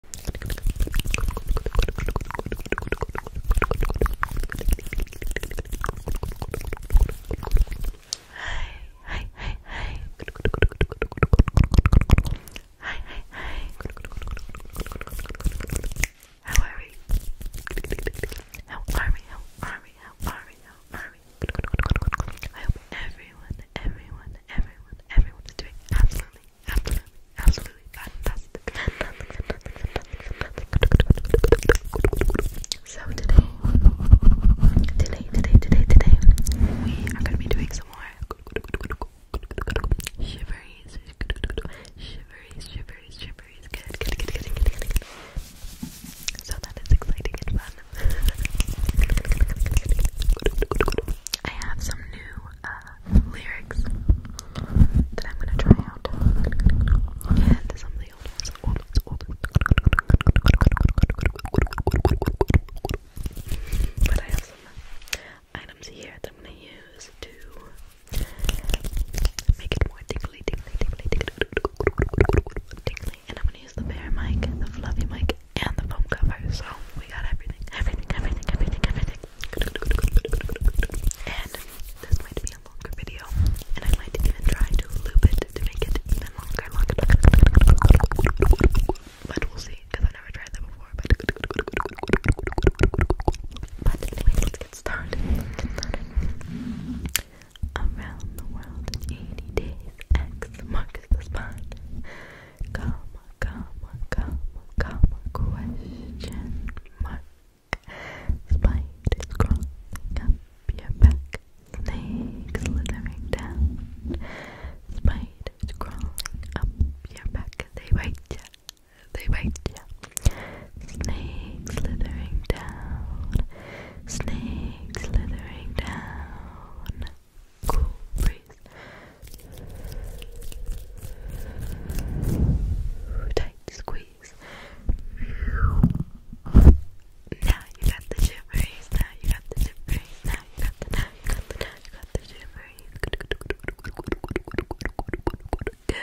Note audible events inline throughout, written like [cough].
Hi, hi, hi, hi. Hi, hi, hi. How are we? How are we? How are we? How are we? everyone, everyone, everyone, everyone is doing absolutely absolutely, fantastic. So today, today, today, today, we are going to be doing some more shiveries, shiveries, shiveries, shiveries. Good, So that is exciting I have some new uh, lyrics that I'm gonna try out. And some of the old ones, But I have some items here that I'm gonna use to make it more tingly, tingly, tingly, tingly, tingly. And I'm gonna use the bear mic, the fluffy mic, and the foam covers. So we got everything, everything, everything, everything, everything. And this might be a longer video, and I might even try to loop it to make it even longer, longer, But we'll see, because I've never tried that before. But, let's get started. Around the world in 80 days, X marks the spot comma, comma, comma, comma, question mark. Spiders crawling up your back, snakes slithering down. Spiders crawling up your back, they bite ya, they bite ya. Snakes slithering down, snakes slithering down cool breeze. Tight squeeze. Now you got the shivers. Now you got the shivers. Now you got the now you got the now you got the shivers. Good.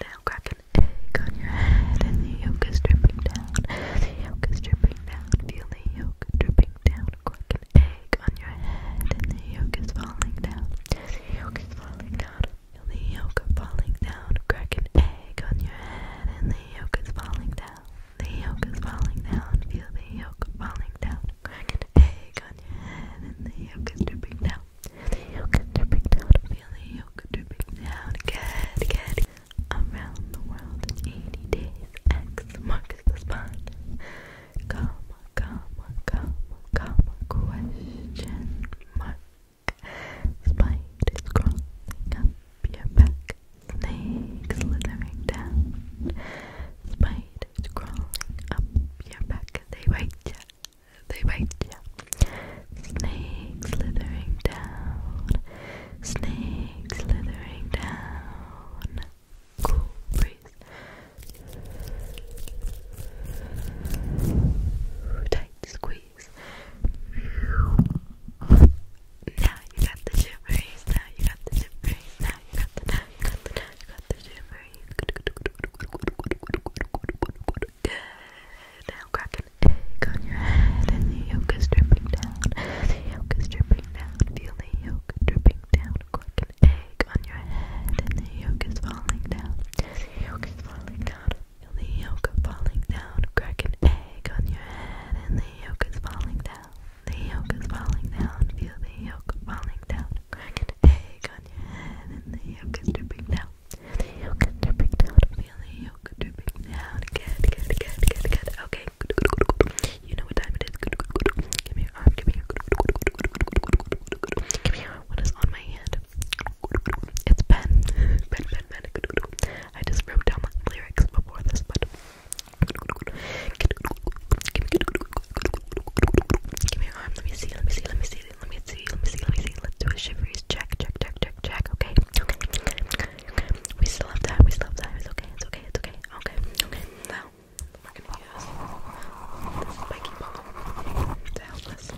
Now crack egg on your head and the yolk is dripping down. The yolk is dripping down. Feel yolk dripping down. Crack an egg on your head and the yolk is falling down. The yolk is falling down. Feel the yolk falling down. Crack egg on your head and the yolk is falling down. The yolk is falling down. Feel the yolk falling down. Crack egg on your head and the yolk is dripping down. The yolk is dripping down. Feel the yolk dripping down. Good, good. Around the world in 80 days. X marks the spot comma, comma, comma, comma, question mark. Spiders crawling up your back, snakes slithering down. Spiders crawling up your back, they bite ya, they bite ya. Snakes slithering down, snakes slithering down cool breeze. Tight squeeze. Now you got the gibberish. Now you got the gibberish. Now you got the now you got the now you got the gibberish. Good. Now crack an egg on your head and the yolk is dripping down. The yolk is dripping down. Feel the yolk dripping down. Crack an egg on your head and the yolk is falling down. The yolk is falling down. Feel the yolk falling down. Crack egg on your head and the yolk is falling down. The yolk is falling down. Feel the yolk falling down. Crack egg on your head and the yolk is dripping down. The yolk is dripping down. Feel the yolk dripping down. Good, good, good, good, good. Okay. You know what time it is. Give me your arm. Give me your. Give me your arm. What is on my hand? It's pen. Pen, pen, pen. I just wrote down the lyrics before this, but. Give me your arm. Let me see. Let me see. Let me see. Let me see. Let me see. Let me see. Let's do a shiveries check. Check. Check. Check. Check. Okay. Okay. Okay. Okay. We still have time. We still have time. It's okay. It's okay. It's okay. Okay. Okay. Now we're gonna use this spiky ball to help us.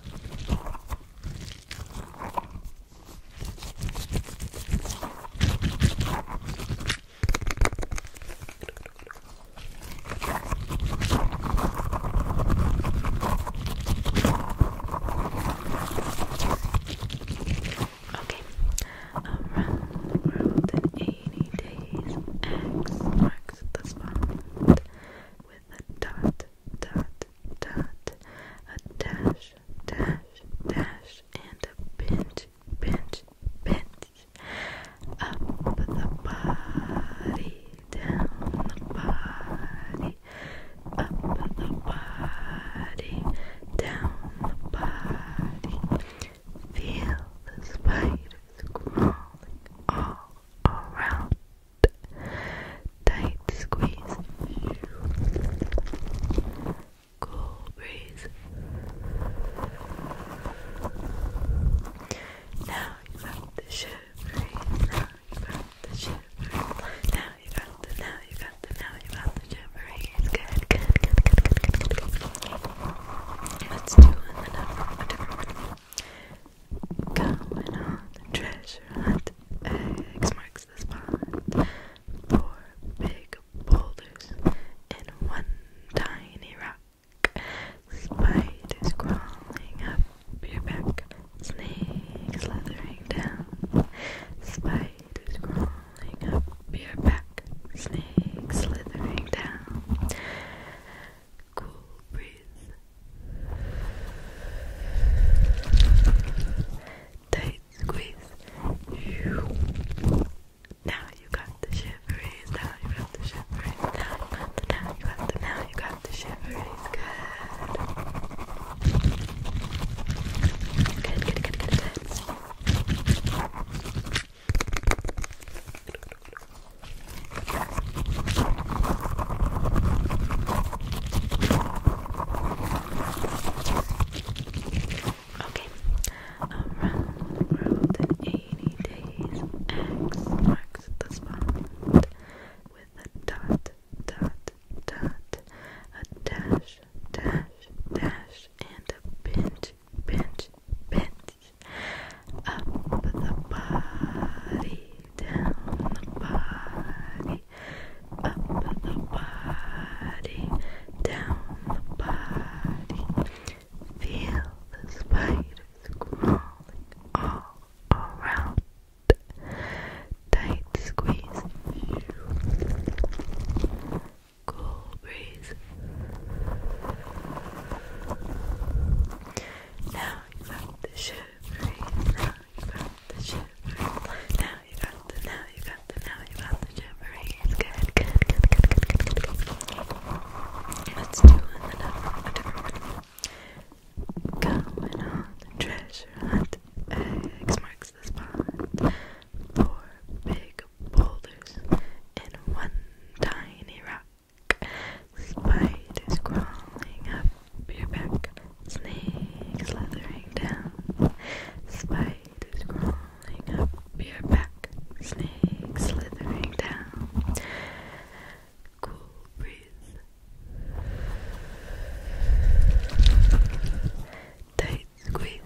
Okay, um, Rainy Days X marks the spot with a dot, dot, dot, a dash, dash, dash, and a pinch, pinch, pinch. Up the body, down the body, up the body, down the body. Feel the spiders crawling all around. Tight squeeze. Cool breeze. Now you got the shivering. Now you got the shivering. Now you got the, now you got the, now you got the shivering. It's good, good, good, good. Let's do another one. Going on the treasure hunt. X marks the spot. Four big boulders and one tiny rock. Spiders crawling up your back. Snakes slithering down. Spiders crawling up your back. Snakes slithering down cool breeze, tight squeeze. Now you got the shiveries. Now you got the shiveries. Now you got the. Now you got the. Now you got the shiveries. Good. Good. Good. good. Okay. Around world in 80 days, marks the spot with a dot, dot, dot, a dash, dash, dash, and a pinch, pinch, pinch. Up the body, down the body, up the body, down the body. Feel the spiders crawling all around. Tight squeeze, cool now you got the shiver. Now you got the shiver. Now you got the. Now you got the. Now you got the shiver. Let's do another different one. Going on the treasure hunt. X marks the spot. Four big boulders and one tiny rock. Spiders crawling up your back. Snakes slithering down. Spiders crawling up your back. Snakes slithering down. Cool breeze. Tight squeeze.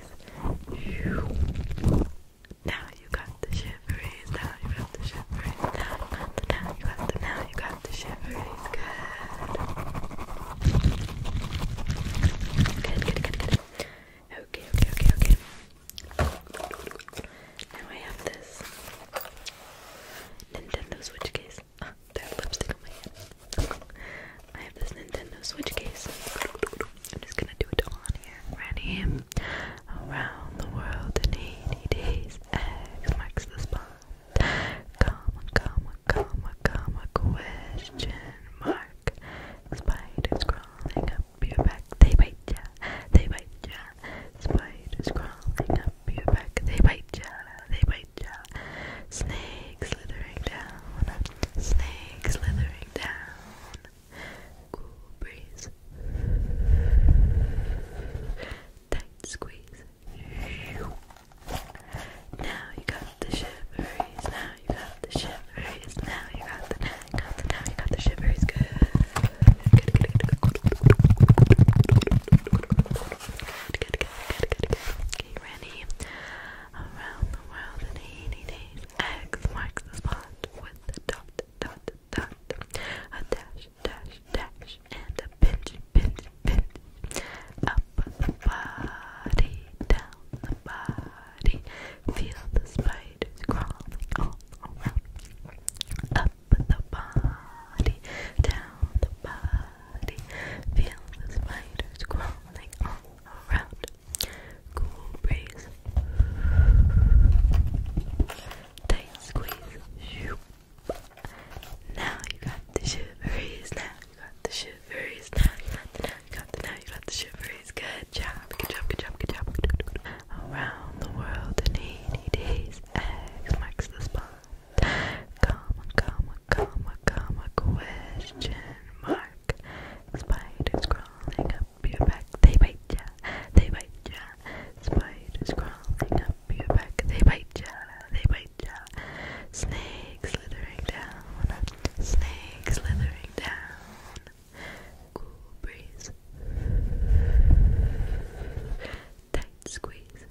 Now you got the shiveries. Now you got the shiveries. Now you got the. Now you got the. Now you got the shiveries. Good. Good. Good. Good. Good. Okay. Okay. Okay. Okay. Now I have this Nintendo Switch case. Oh, there's lipstick on my hand. I have this Nintendo Switch case. I'm just gonna do it on here. Ready? Around the world in 80 days. X marks the spot. Comma, comma, comma, comma, question mark. Spiders crawling up your back. They bite ya. They bite ya. Spiders crawling up your back. They bite ya. They bite ya. Snakes slithering down. Snakes slithering down. Cool breeze. Tight squeeze. Now you got the shiveries. Now you got the shiveries. Now you got the, got now you got the shiveries. Good. Good, good, good, good, good, good, good, good, good. Okay, ready? Around the world in 80 days. X marks the spot with the dot, dot, that a dash, dash, dash, and a pinch, pinch, pinch. Up the body, down the body. Feel the spiders crawling all around. Up the body, down the body. Feel the spiders crawling all around cool breeze. Tight squeeze. Now you got the shiveries. Now you got the shiveries. Now you got the now you got the now you got the shiveries. Good job. Good job. Good job. Good job. Around the world in 80 days. X marks the spot. Comma, comma, comma, comma, question mark. Spiders crawling up your they bite ya, they bite ya. Spiders crawling up your they bite ya, they bite ya. Snakes slithering down, snakes slithering down. Cool breeze, tight squeeze.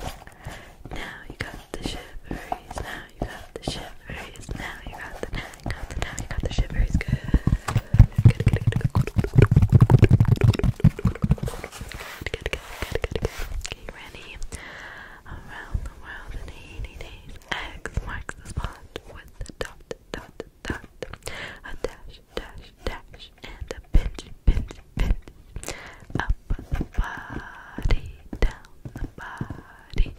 Now you got the shivers, now you got the shivers, now you got the. You got the I got Good. Good, ready? Around the world in 80 days. X marks the spot with the dot, dot, dot, a dash, dash, dash, and a pinch, pinch, pinch. Up the body, down the body.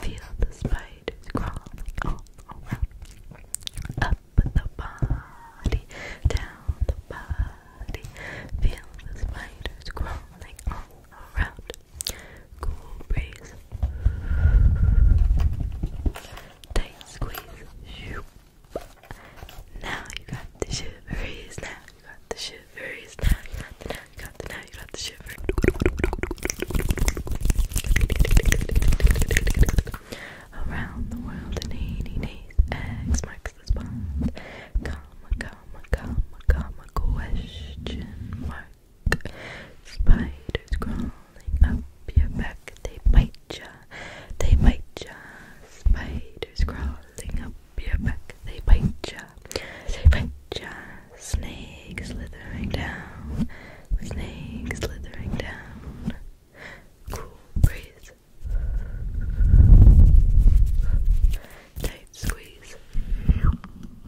Feel the spiders crawling all around. Up the body, down the body. Feel the spiders crawling all around. Cool breeze. Tight squeeze. Now you got the shiveries. Now you got the shiveries. Now you got the now you got the now Around the world in 80 days, X marks the spot. Comma, comma, comma, comma, question mark. Spiders crawling up your back, they bite ya, they bite ya. Spiders crawling up your back, they bite ya, they bite ya. Snake slithering down. Snake slithering down. Cool breeze. Tight squeeze.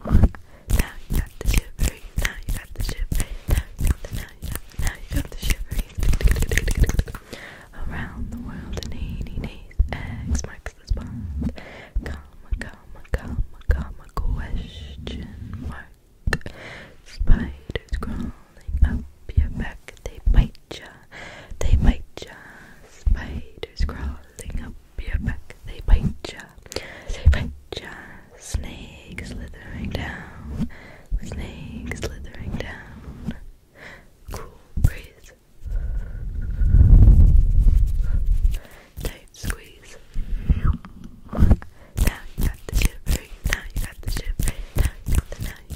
Now you got the shivery. Now you got the shivery. Now you got the now you got the, now Around the world in 80 days. X marks the spot. Comma, comma, comma, comma, question mark. Spiders crawling up your back, they bite ya, they bite ya. Spiders crawling up your back, they bite ya, they bite ya. Snake slithering down, snake slithering down. Cool breeze squeeze. Now you got the shivering. Now you got the shivering. Now you got the now you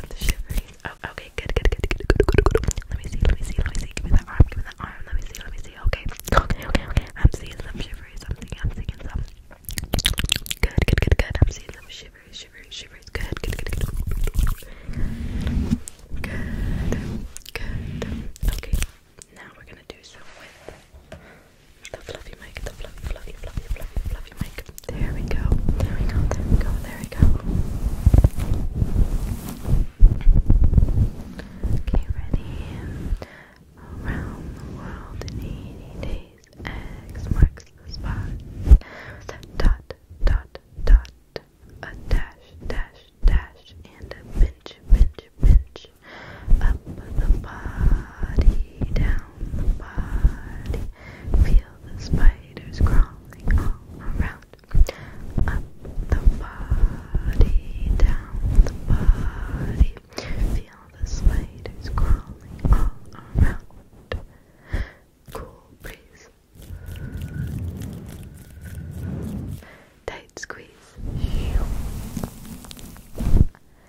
got the now Oh, okay, good, good, good, good, good, good, good. Let me see, let me see, let me see. Give me that arm, give me that arm. Let me see, let me see. Okay, I'm seeing some shivery, I'm seeing some. Good, good, good, good. I'm seeing some shivery, shivery, shivery. good, good, good. Good, good. Okay now we're gonna do some with the fluffy mic, the fluffy, fluffy, fluffy, fluffy, fluffy mic. There we go, there we go, there we go, there we go. Okay, ready? Around the world in 80 days, X marks the spot. dot, dot, dot, a dash, dash, dash, and a pinch, pinch, pinch. Up the body, down the body. Feel the spiders crawling all around. Up the body, down the body. Feel the spiders crawling all around. Cool breeze. Tight squeeze.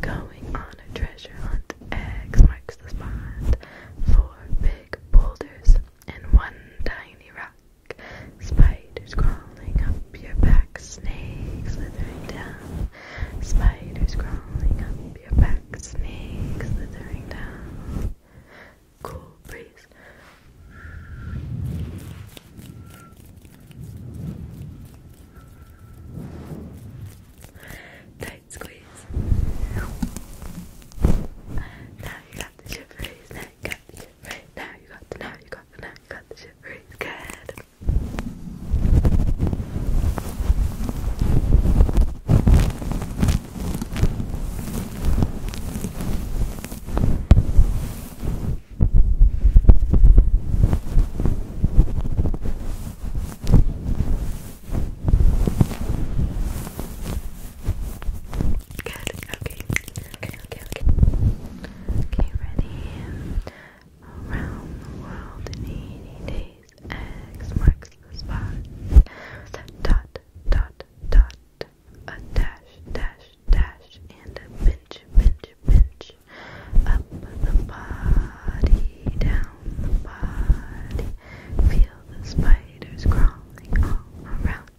Going on a treasure hunt, X marks the spot. Four big boulders and one tiny rock. Spiders crawling up your back, snakes slithering down. Spiders crawling up your back, snakes slithering down. Cool breeze. Tight squeeze. Now you got the shit Now you got the shit Now you got the, now you got the, now you got the shit Good. Good, okay. Okay, okay, okay. ready? Around the world in 80 days, X marks the spot. Dot, dot, dot. A dash, dash, dash, and a pinch, pinch, pinch up the body, down the body. Feel the spiders crawling all around.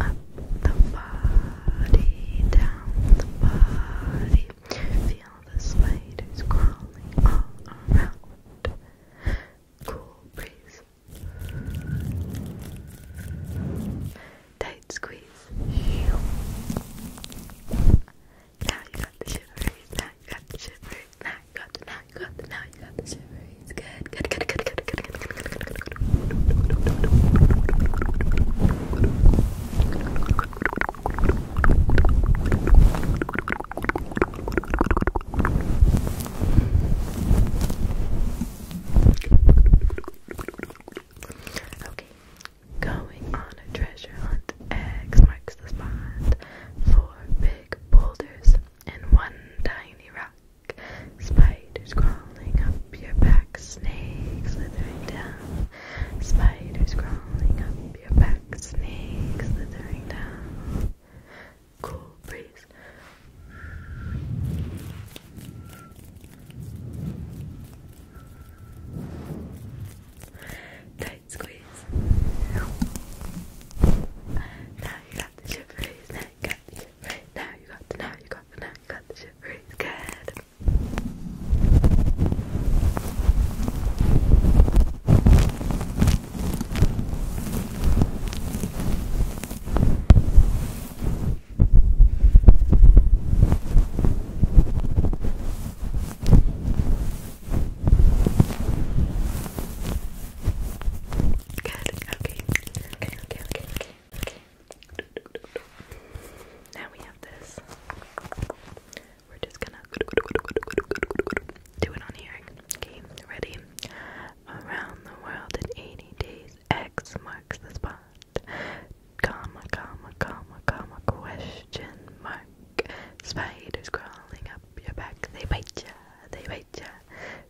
Up the body, down the body. Feel the spiders crawling all around. Cool breeze. Tight squeeze. Now you got the shivers. Now you got the shivers. Now you got the now you got the now you got the shivers. Good, good, good, good, good, good, good, good, good, good, Okay, Going on a treasure hunt, X marks the spot. Four big boulders and one tiny rock. Spiders crawling up your back, snakes slithering down. Spiders crawling up your back, snakes slithering down. Cool breeze squeeze. Now you got the ship now you got the ship now you got the, now you got the, now you got the ship Good. Good. Okay. Okay. Okay. Okay. Okay. Okay. Now we have this. We're just gonna do it on hearing. Okay. Ready? Around the world in 80 days. X marks the spot comma, comma, comma, comma, question mark. Spiders crawling up your back, they bite ya, they bite ya.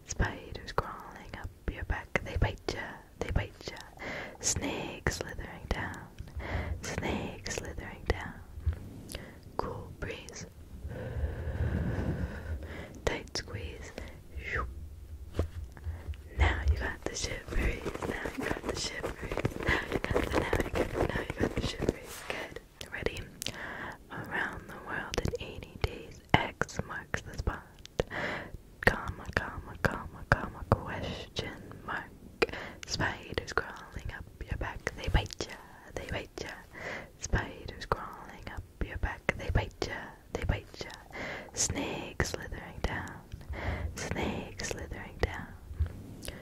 Spiders crawling up your back, they bite ya, they bite ya. Snakes slithering down, snakes slithering down. Cool breeze, tight squeeze. Now you got the shivers shiveries. Now you got the shiveries. Now you got the now you got the now you got the shiveries. Good. Ready? Around the world in 80 days. X marks the spot. Comma, comma, comma, comma, question mark. Spiders crawling up your back. They bite ya. They bite ya. Spiders crawling up your back. They bite ya. They bite ya. Snake slithering down. Snake slithering down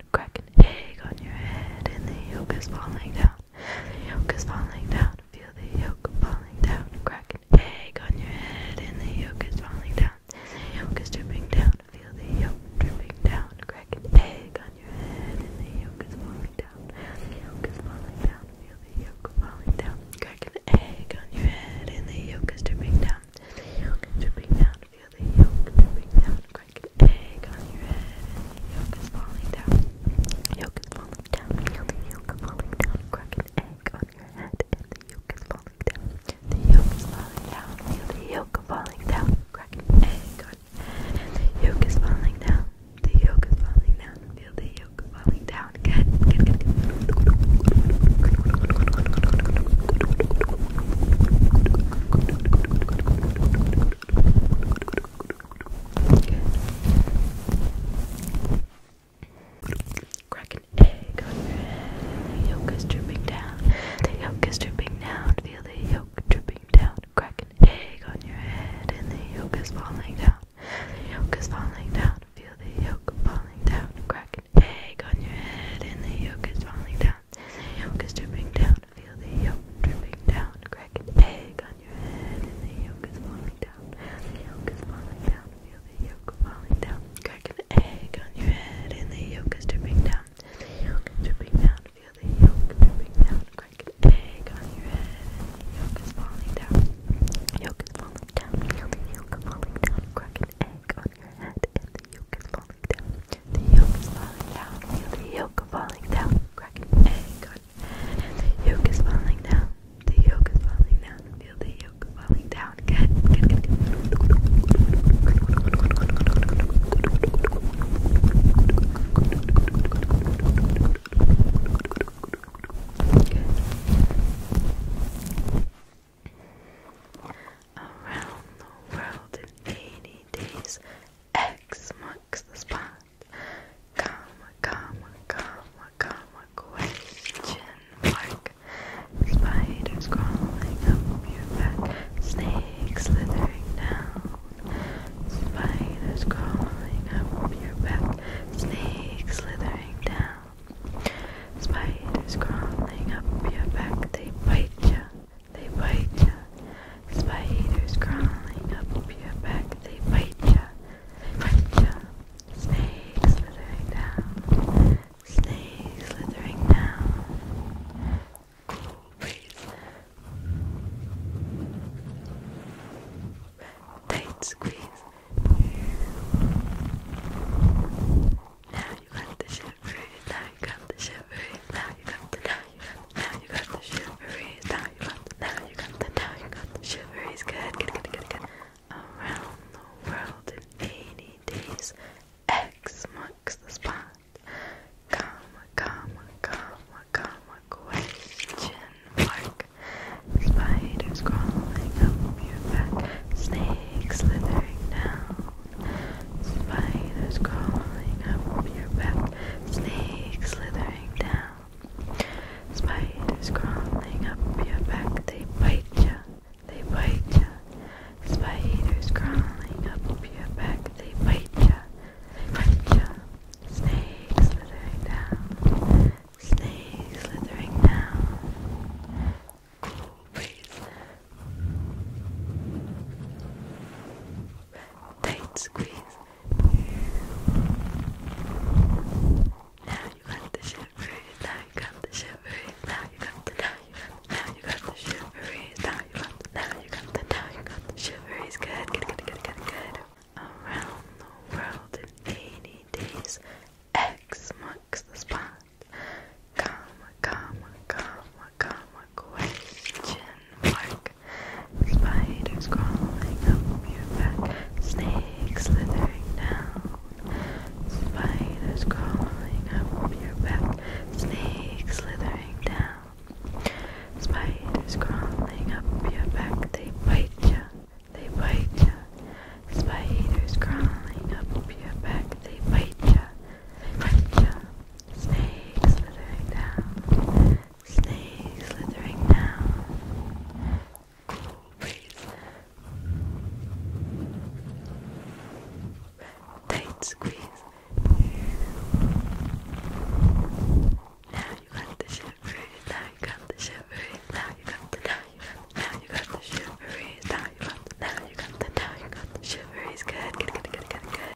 about cracking an egg on your head and the yolk is falling down. The yolk is falling down. Feel the yolk falling down. Crack an egg on your head and the yolk is falling down. The yolk is dripping down. Feel the yolk dripping down. Crack an egg on your head and the yolk is falling down. The yolk is falling down. Feel the yolk falling down. Crack an egg on your head and the yolk is dripping down. The yolk is dripping down down, feel the yolk dripping down, crack an egg on your head, and the yolk is falling down, yolk is falling down, feel the yolk falling down, crack an egg on your head, and the yolk is falling down, the yolk is falling down, feel the yolk falling down, crack an egg on your head, and the yolk is falling down, the yolk is falling down, feel the yolk falling down, good, good, good, good. Crack an egg on your head. The yolk is dripping down. The yolk is dripping down. Feel the yolk dripping down. Crack an egg on your head, and the yolk is falling down. The yolk is falling down. Feel the yolk falling down. Crack an egg on your head, and the yolk is falling down the yolk is dripping down. Feel the yolk dripping down. Crack an egg on your head, and the yolk is falling down. The yolk is falling down. Feel the yolk falling down. Crack an egg on your head, and the yolk is dripping down. The yolk is dripping down. Feel the yolk dripping down. Crack an egg on your head, and the yolk is falling down. The yolk is falling down. Feel the yolk falling down. Crack an egg on your head, and the yolk is falling down. The the yolk is falling down, the yolk falling down, crack egg the yolk is falling down, the yolk is falling down, feel the yolk falling down, good, Around the world in 80 days X marks the spot. Comma, comma, comma, comma, question mark. Spiders crawling up your back. Snakes slithering down. Spiders crawling up your back. Snakes slithering down. Spiders crawling up your back. They bite you they bite ya. Spiders crawling up your back, they bite ya. bite ya. Snakes slithering down. Snakes slithering down. Cool breeze. Tight squeeze. Now you got the shit for you got the shiveries, now you got the now you got the now now you got the now you got the now good, good, good, good. Around the world in 80 days, X marks the spot. Comma, comma, comma, comma, question mark. Spiders crawling up your back, snakes slithering down. Spiders crawling up your back, snakes slithering down. Spiders crawling up your back, they bite ya, they bite ya. Spiders crawling up your back, they bite ya, they bite ya. Snakes slithering down, snakes slithering down. Cool breeze tight squeeze. Now you got the shiveries, now you got the shiveries, now you got the now you got the, now you got the shiveries, now you got now you got the now you got the shiveries. good, good, good, good, good. Around the world in 80 days. X marks the spot. Comma, comma, comma, comma, question mark. Spiders crawling up your back, snakes slithering down. Spiders crawling up your back, snakes slithering down. Spiders crawling up your back, they bite ya, they bite ya. Spiders crawling up your back, they bite ya, they bite ya. Snake slithering down. Snake slithering down. Cool breeze. Tight squeeze. Now you got the shiveries. Now you got the shiveries. Now you got the now you got the, now you got the shiveries. Now you got the now you got the now you got the shiveries. Good, good, good, good, good, good.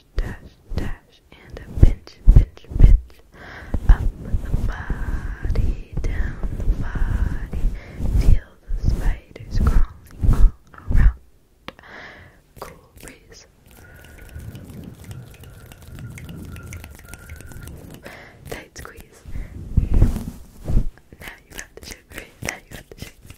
dash, dash, and a pinch, pinch, pinch. Up the body, down the body. Feel the spiders crawling all around. Cool breeze. Tight squeeze. Now you got the sugar. Now you got the sugar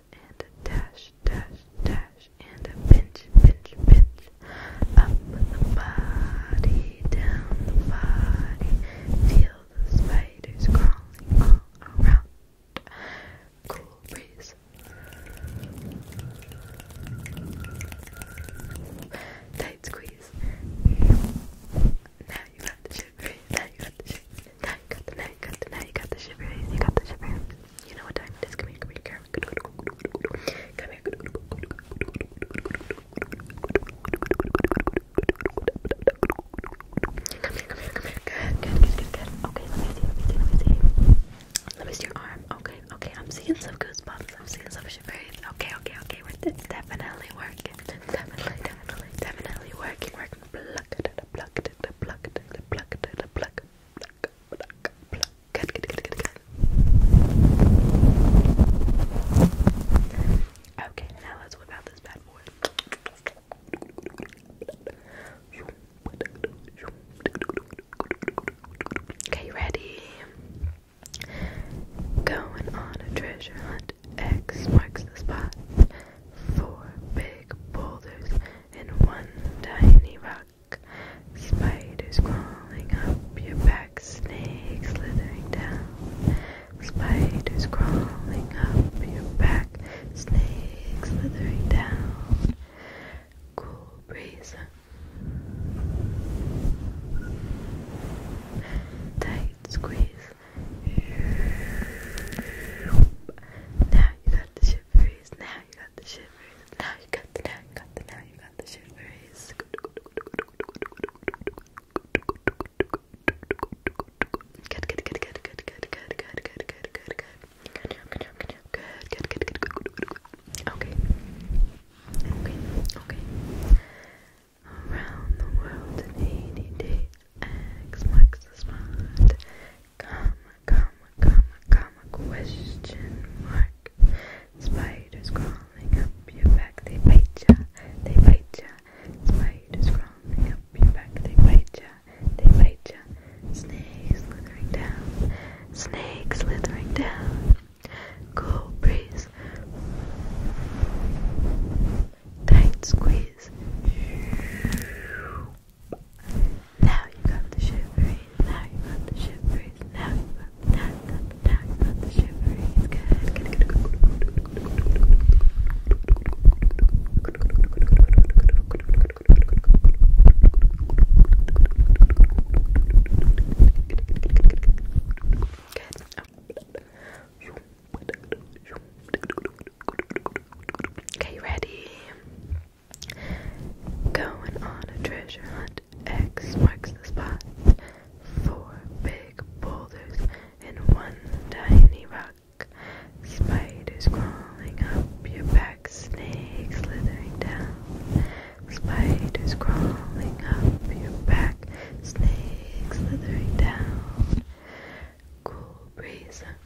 and a dash, dash, dash, and a pinch, pinch, pinch. Up the body, down the body. Feel the spiders crawling all around. Cool breeze. Tight squeeze. Now you got the shivers. Now you got the shivers. Now you got the now you got the now you got the shivers. You got the shivers. You know what time it is? Come here, come here, come here. Come here. Come here, come here, come here. Good, good, good, good, good. Okay, let me see, let me see, let me see. Let me see your arm. Okay, okay. I'm seeing some goosebumps. I'm seeing some shivers. Okay, okay, okay. We're definitely working. Definitely, definitely, definitely working, working, Okay, now let's whip out this bad boy. Okay, ready? Going on a treasure hunt. X marks the spot. Four big boulders and one tiny rock. Spiders crawling up your back, snakes slithering down. Spiders crawling up your back, snakes slithering down. Cool breeze. Tight squeeze. Now you got the shivers. Now you got the shivers. Now you got the now you got the now you got the shivers. Good, good, good, good, good, good, good, good, good, good, good, good. Good, good, good, good, good, good. Okay. Okay. Okay. Around the world in 80 days. X marks the spot. Comma, comma, comma, comma, question mark. Spiders crawling up your back, they bite ya, they bite ya. Spiders crawling up your back, they bite ya, they bite ya. Snakes slithering down, snakes slithering down. Cold breeze tight squeeze. Now you got the shivery. Now you got the shivery. Now you got, the shivery. good. Okay, ready? Going on a treasure hunt. X marks the spot. Four big boulders and one tiny rock. Spiders crawling up your back, snakes slithering down. Spiders crawling up your back, snakes slithering down. Cool breeze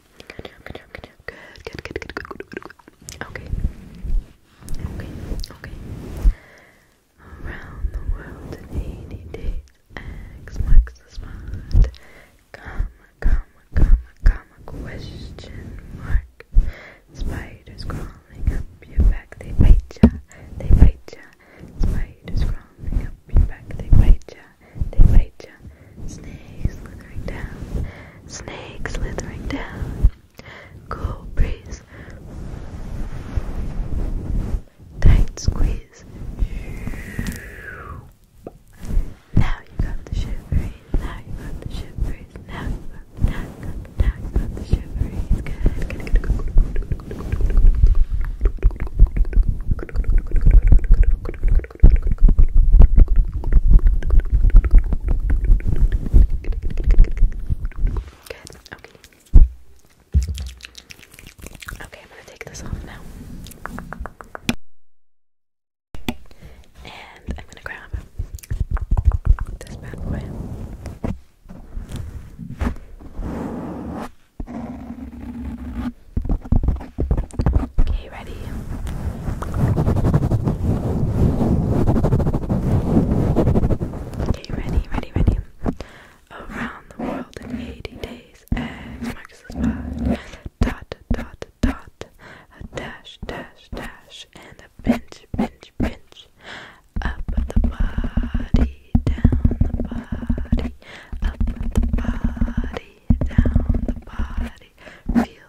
Good, good, good, good, good, good, good. Okay. Okay, okay. Around the world in 80 days. X marks Comma, comma, comma, comma, question mark. Spiders crawling up your back, they bite ya, they bite ya. Spiders crawling up your back, they bite ya, they bite ya. Snake slithering down. Snake slithering down. Cool breeze. Tight squeeze. Now you got the shivery. Now you got the shivery. Now you now now you got the shivery. good, Good. Okay. Okay, I'm gonna take this off now. And I'm gonna grab this bad boy. Okay, ready? Okay, ready, ready, ready. Around the world in 80 days, X Dot, dot, dot. A dash, dash, dash. And a pinch, pinch, pinch. Up the body, down the body. Up the body, down the body. Feel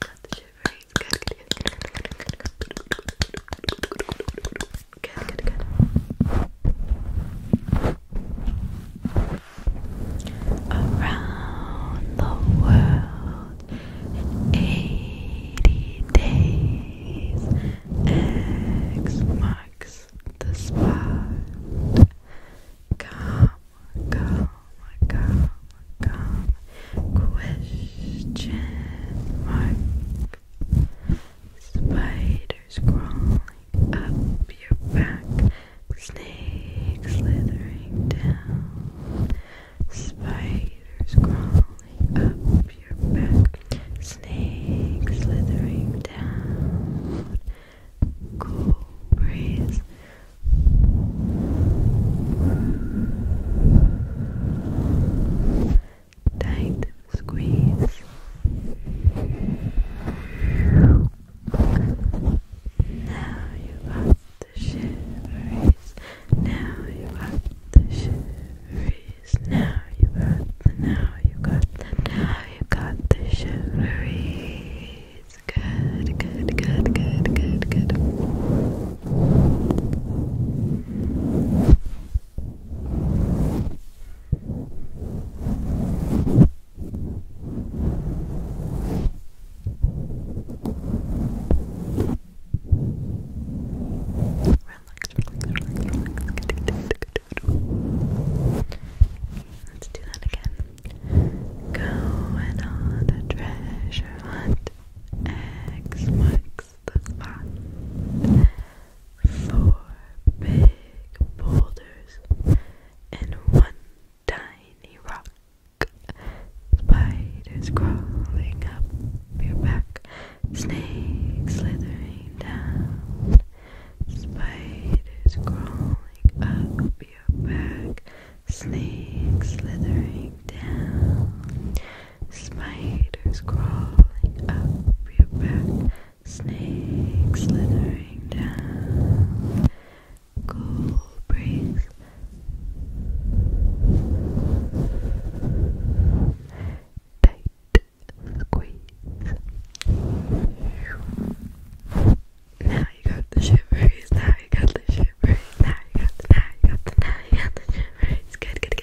the shiveries. Around the world in 80 days. X marks the spot. Come, come, come. Question mark. Spiders crawling up your back. Snakes slithering down. Spiders crawling up your back. Snakes slithering down. Cool breeze tight squeeze now you got the shiveries now you got the shiveries now you got the now you got the now you got the shiveries good good good good good good Let's do that again. Go on a treasure hunt. X marks makes Four big boulders and one tiny rock. Spiders crawling up your back, snakes slithering down. Spiders crawling up your back, snakes slithering down. Spiders crawling up your back, snakes slithering down, cool breeze. Tight squeeze. Now you got the shivers. Now you got the shivers. Now you got the now you got the now you got the shivers. Good, good, good.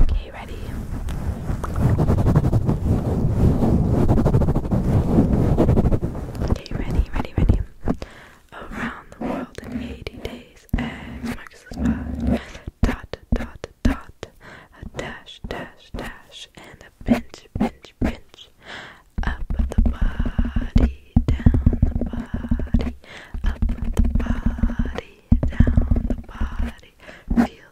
Okay, ready? Okay, ready, ready, ready. Around the world in 80 days, X marks the spot. Dot, dot, dot. A dash, dash, dash. And a pinch, pinch, pinch. Up the body, down the body. Up the body, down the body. Feel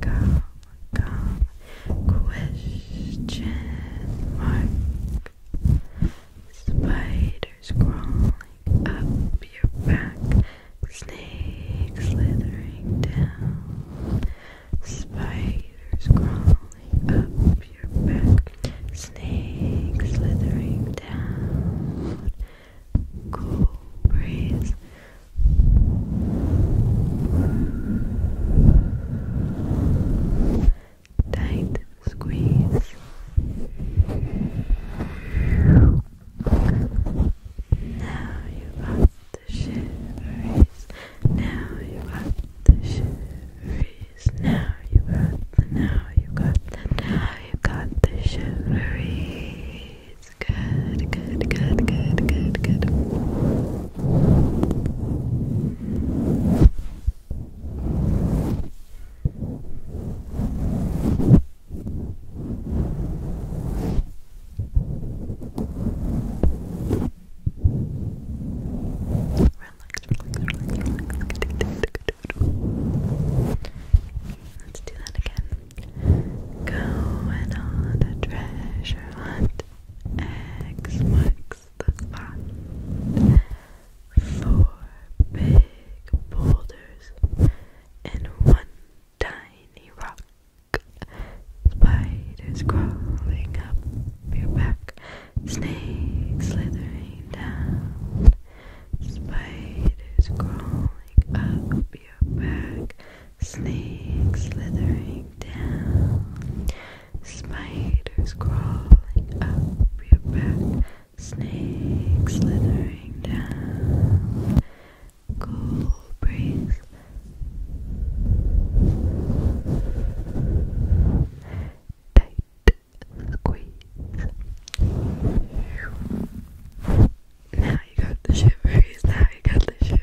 comma, comma, question mark. Spiders crawling up your back, snakes slithering down. Spiders crawling up your back, snakes slithering down. Cool breeze Tight squeeze. Now you got the shiveries. Now you got the shiveries. Now you got now you got now you got the shiveries. Good, good, good, good, good, good. Let's do that again. Go on a treasure hunt. X marks the spot. Four big boulders and one tiny rock. Spiders crawling up your back. Snakes slithering down. Spiders crawling up your back. Snake slithering down, spiders crawling up your back, snakes slithering down, cobras tight squeeze. Now you got the shivers, now you got the shivers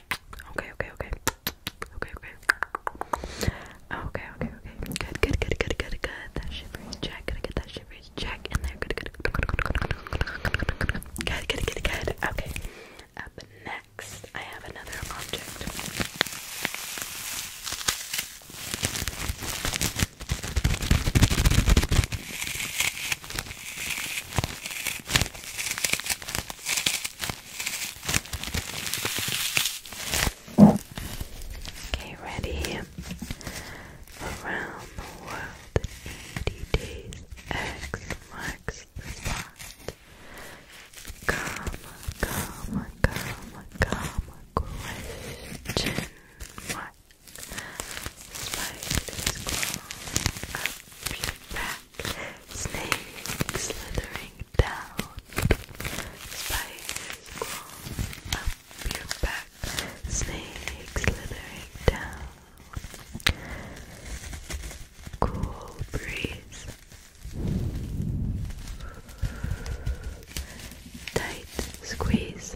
Okay, okay, okay. Okay, okay. Okay, okay, okay. Good, good, good, good, good, good. That shivers check. Gotta get that shivers check in there. Good, good, good, good, good, good, good, good. Good, good, good, good. Okay. Up next, I have another object. Okay, ready around the world in 80 days. X marks the spot. Comma, comma, comma, comma, question mark. Spiders crawl up your back. Snake slithering down, spiders crawling up your back, snakes slithering down, cool breeze, tight squeeze.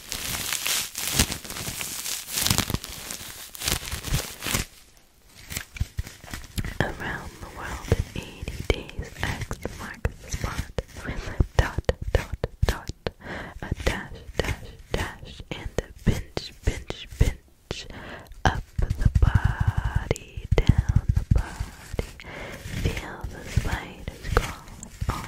Around the world in 80 days, X marks the spot a dot, dot, dot, a dash, dash, dash, and a pinch, pinch, pinch. Up the body, down the body, feel the spiders crawling on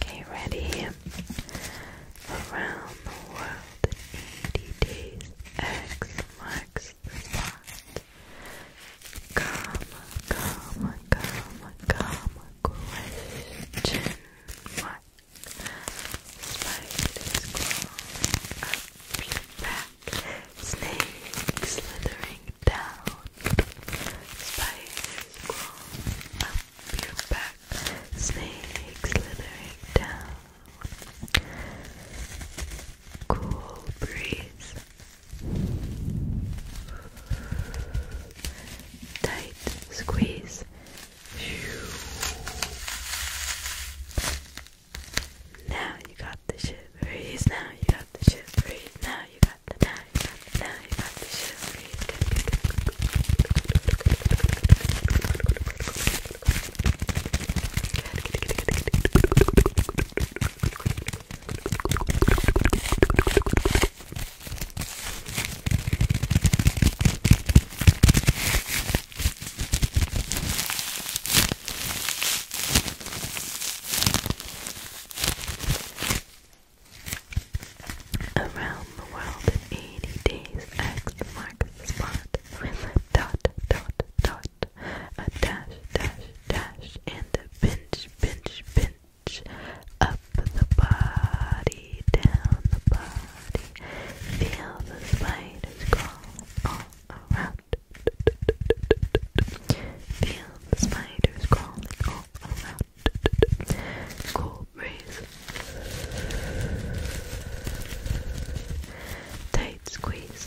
Okay, ready? Around the world in 80 days, X marks the spot. Come, come, come, come, question mark. Spiders slithering down. Spiders slithering down. Cool breeze Tight squeeze. Now you got the shit Now you got the shit Now you got the now you got the now you got the shit Around the world in 80 days, X marks the spot dot, dot, dot, a dash, dash, dash, and a pinch, pinch, pinch up the body, down the body. Feel the spiders crawl all around. Feel the spiders crawling all around. Cool breeze. Tight squeeze.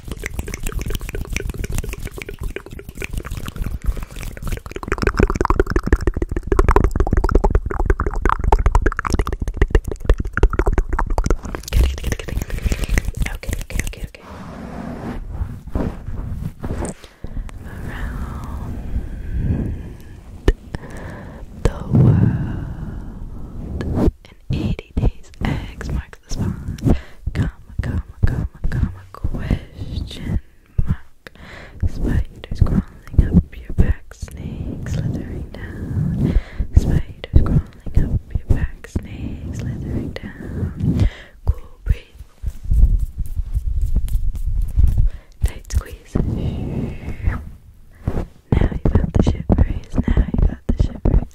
Okay, okay, okay, okay. Around the world in 80 days. X marks the spot. Comma, comma, comma, comma, question mark. Spiders crawling up your back, snakes slithering down. Spiders crawling up your back, snakes slithering down. Cool breathe. Tight squeeze. Now you got the shivers. Now you got the shivers.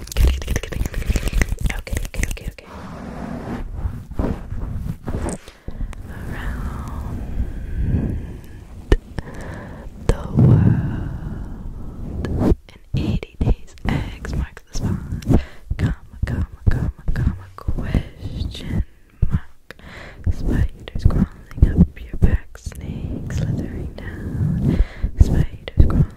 Okay, okay, okay, okay. Around the world in 80 days, X marks the spot. Comma, comma, comma, comma, question mark. Spiders crawling up your back, snakes slithering down. Spiders crawling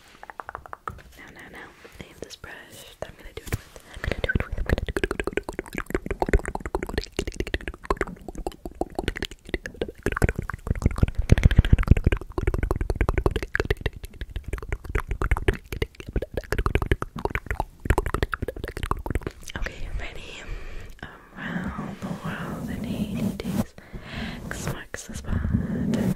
no, no, no. I this brush that I'm gonna do it with. i I'm ready? Around the world in 80 days. X marks the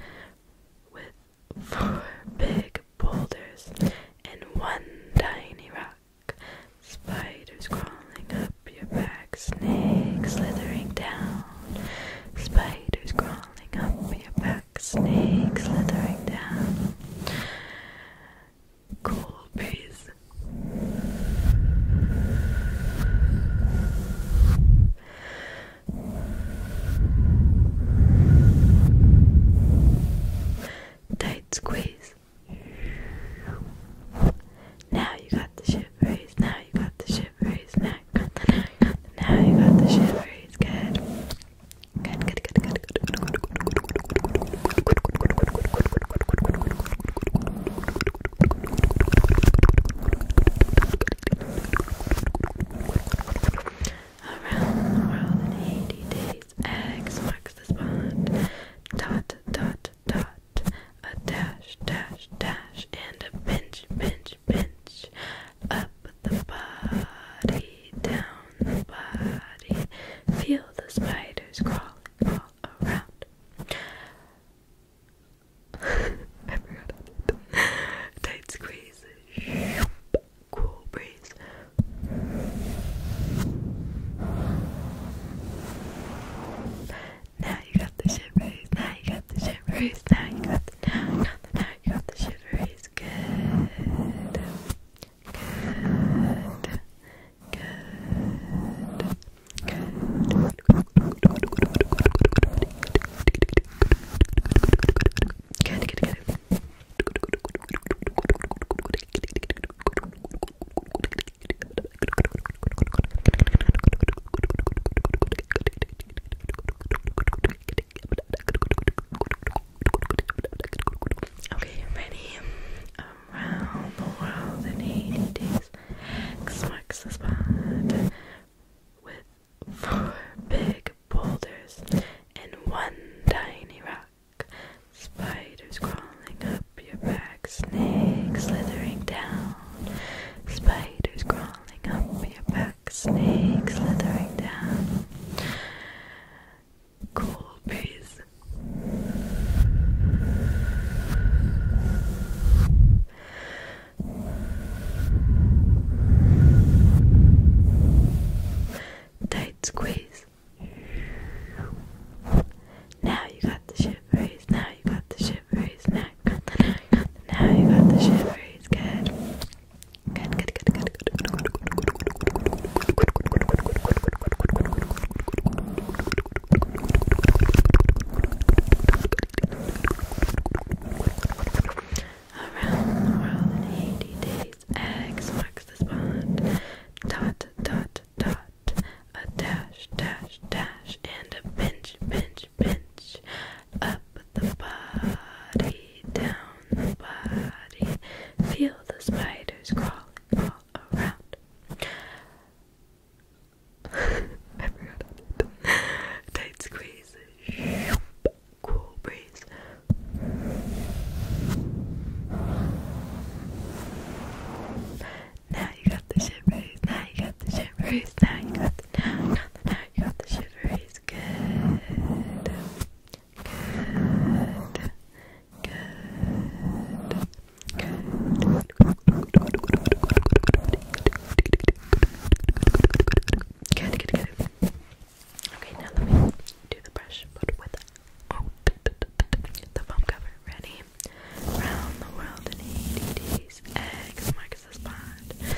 with four big boulders, and one tiny rock. Spiders crawling up your back, snakes slithering down. Spiders crawling up your back, snakes slithering down. Cool breeze. Tight squeeze. Now you got the shivers. Now you got the shivers. Now you got the now you got the shivers. Good. Good. Around the world in 80 days, X marks the spot. Dot, dot, dot. A dash, dash, dash, and a pinch, pinch, pinch. Up the body, down the body. Feel the spiders crawling all around. I forgot it. Tight squeeze, cool breeze. Now you got the shivers. Now you got the shivers. Now you got the now, now, now you got the shivers. Good. Good. Good. Good. Good, good, good. Okay, ready? Around um, the world in 80 days. X marks the spot with four big boulders, and one tiny rock. Spiders crawling up your back, snakes slithering down. Spiders crawling up your back, snakes slithering down. Cool breeze. Tight squeeze. Now you got the shivers. Now you got the shivers. Now you got the got the shivers. Good. Good around the world in 80 days. X marks the spot. Dot, dot, dot. A dash, dash, dash. And a pinch, pinch, pinch. Up the body, down the body. Feel the spiders [laughs] crawling all around. I forgot Tight squeeze cool breeze. Now you got the shivers. Now you got the shivers. Now you got the now, now, now you got the shivers. Good. Good. Good. Good. Okay, now let me do the brush, but without oh, the foam cover. Ready? Round the world in 80 days. Eggs, Marcus is bond.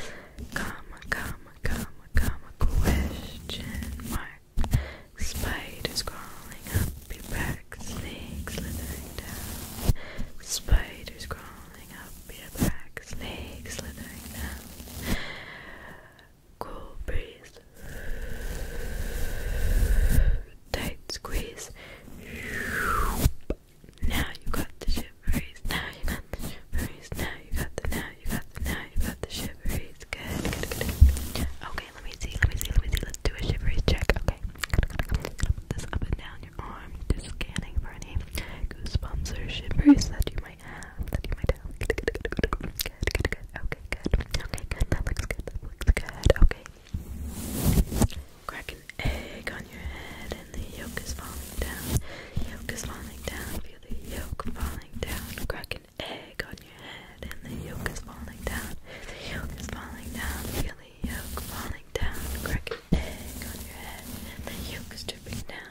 Comma, comma, comma, comma, question mark. Spiders crawling up your back, snakes slithering down. Spiders crawling rolling up your back, snake slithering down. Cool breeze, tight squeeze. Now you got the shiveries. Now you got the shiveries. Now you got the. Now you got the. Now you got the shiveries. Good, Okay, let me see. Let me see. Let me see. Let's do a shiveries check. Okay. This up and down your arm, scanning for any goosebumps or shivers that you might. I have sitting on my desk. Good, good, good, good, good. Okay, good. Okay, good. That looks good. That looks good. Okay. Crack an egg on your head, and the yolk is falling down. Yolk is falling down. Feel the yolk falling down. Crack an egg on your head, and the yolk is falling down. The yolk is falling down. Feel the yolk falling down. Crack an egg on your head, and the yolk is dripping down.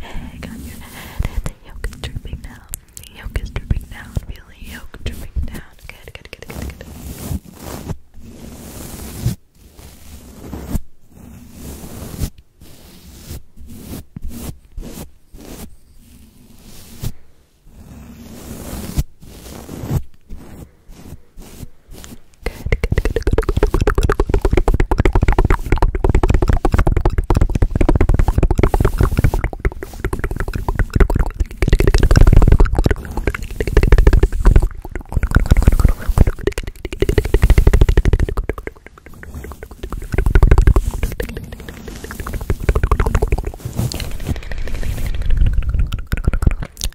egg on your head, yolk is dripping down. The yolk is dripping down, feel the yolk dripping down. good, good, good, good, good, good, good, good, good, good, good, good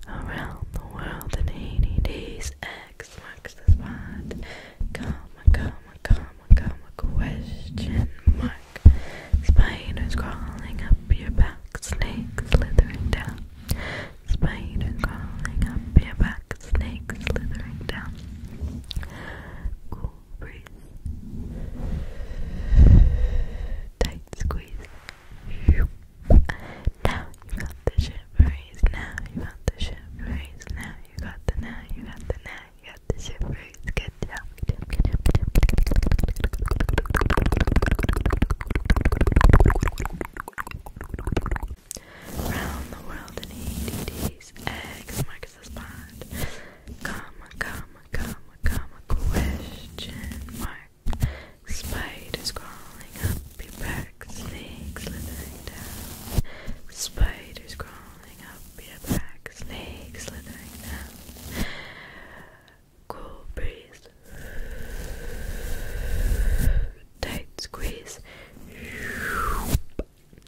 Around the world in 80 days, X marks the spot. Come, come, come, comma, comma, question mark. Spiders crawling up your back, snakes slithering down. Spiders crawling up your back, snakes slithering down. Cool breeze. Tight squeeze. Now you got the shit raised, now you got the shit raised, now you got the now, you got the now, got the shivers. Good job. Round the world in 80 days. Eggs marks the spot. Comma, comma, comma, comma. Question mark. Spiders crawling up your back. Snakes slithering down. Spiders crawling up be a black snake slithering down. Cool breeze, tight squeeze.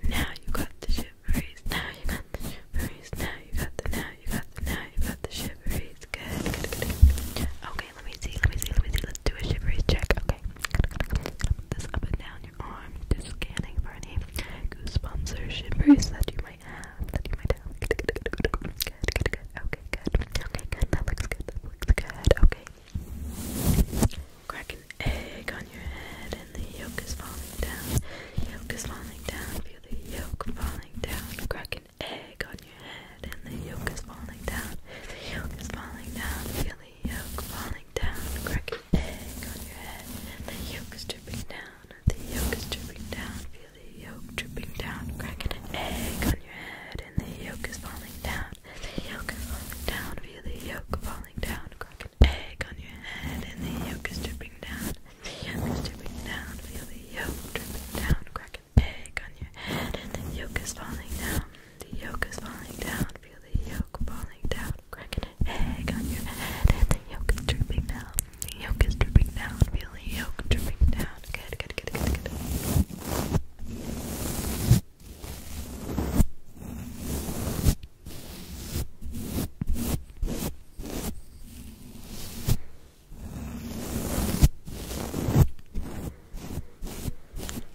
Now you got the shiveries. Now you got the shiveries. Now you got the. Now you got the. Now you got the shiveries. Good, good, good. Okay, let me see. Let me see. Let me see. Let's do a shiveries check. Okay, this up and down your arm is scanning goosebumps or shivers that you might have, Okay, good. Okay, good. That looks good. That looks good. Okay. Crack an egg on your head and the yolk is falling down. Yolk is falling down. Feel the yolk falling down. Crack an egg on your head and the yolk is falling down. The yolk is falling down. Feel the yolk falling down, crack an egg on your head. The yolk is dripping down, the yolk is dripping down. Feel the yolk dripping down, cracking an egg on your head. And the yolk is falling down, the yolk falling down. Feel the yolk falling down, crack an egg on your head. And the yolk is dripping down, the yolk dripping down. Feel the yolk dripping down, crack an egg on your head. And the yolk is falling down, the yolk is falling down. Feel the yolk falling down, down, cracking on your head, and the yolk is dripping down. The yolk is dripping down. Feel yolk dripping down. good, good. Good, good, good,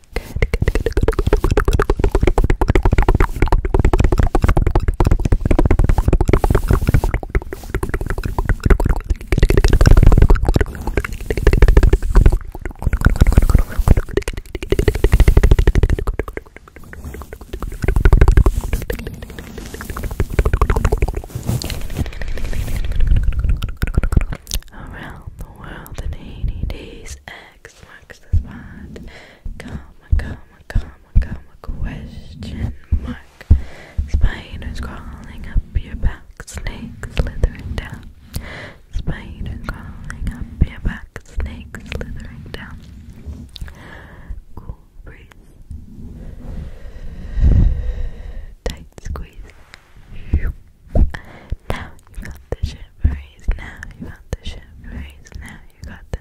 good, good, good, good, Around the world in 80 days, X marks the spot. Comma, comma, comma, comma, comma, question mark. Spiders crawling up your back, snakes slithering down. Spiders crawling up your back, snakes slithering down. Cool breeze. Tight squeeze. Now you got the shiveries, now you got the shiveries, now you got the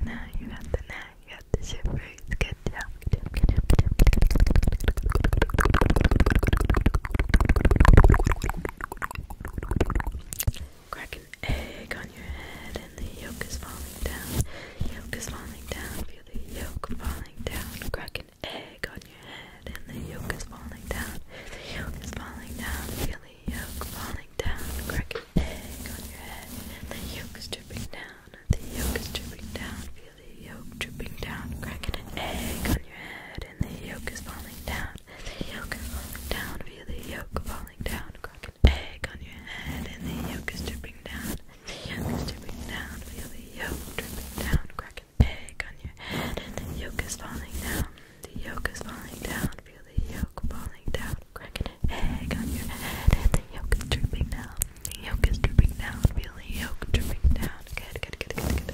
Crack an egg on your head and the yolk is falling down. Yolk is falling down, feel the yolk falling down. Crack an egg on your head and the yolk is falling down. The yolk is falling down, feel the yolk falling down. Crack egg on your head. The yolk is dripping down. The yolk is dripping down. Feel the yolk dripping down. Cracking an egg on your head. And the yolk is falling down. The yolk is falling down. Feel the yolk falling down. Cracking an egg on your head. And the yolk is dripping down. The yolk is dripping down. Feel the yolk dripping down. Crack an egg on your head. And the yolk is falling down. The yolk is falling down. Feel the yolk falling down. Crack an egg on your head, the yolk is dripping down. yolk is dripping down. Feel yolk dripping down. Good, good, good, good, good.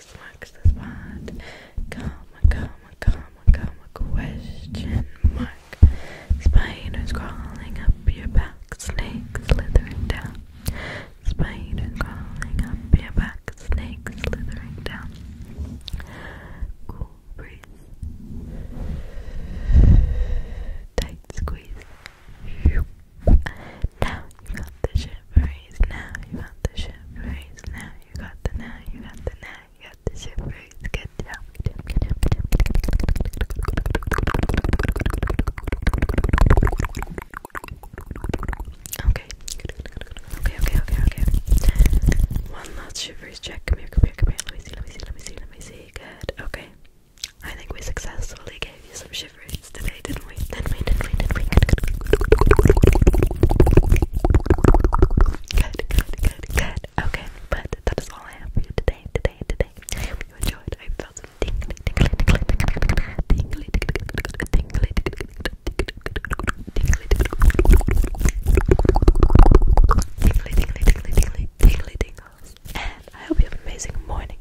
Lex, Lex question mark. Spiders crawling up your back, snakes slithering down. Spiders crawling up your back, snakes slithering down. Cool breeze. Tight squeeze. Now you got the show ship raise now, you got the ship raise now, you got the now, you got the now, you got the ship raise. Good job. Okay. Okay, okay, okay, okay. One last ship raise check. Come here, come here, come here. Let me see, let me see, let me see, let me see. Good. Okay. I think we successfully gave you some shivers today, didn't and wait and wait and wait and wait. Good, good, good, good. Okay, but that is all I have for you today, today, today. I hope you enjoyed. I felt some tingly, tingly, tingly, tingly, tingly, tingly, tingly, tingly, tingly, tingly, tingly. Tingly tingles, and I hope you have an amazing morning,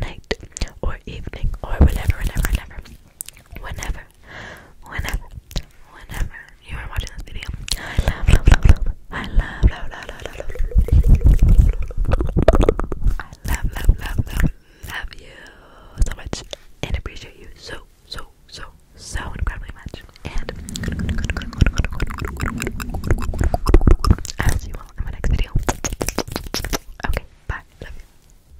night, or evening, or whenever, whenever, whenever, whenever, whenever, whenever you are watching this video, I love, love, love, love, I love, love, love, love, love, love, I love, love, love, love, love you so much and appreciate you so, so, so, so incredibly much. And I'll see you all in my next video. Okay, bye. Love you.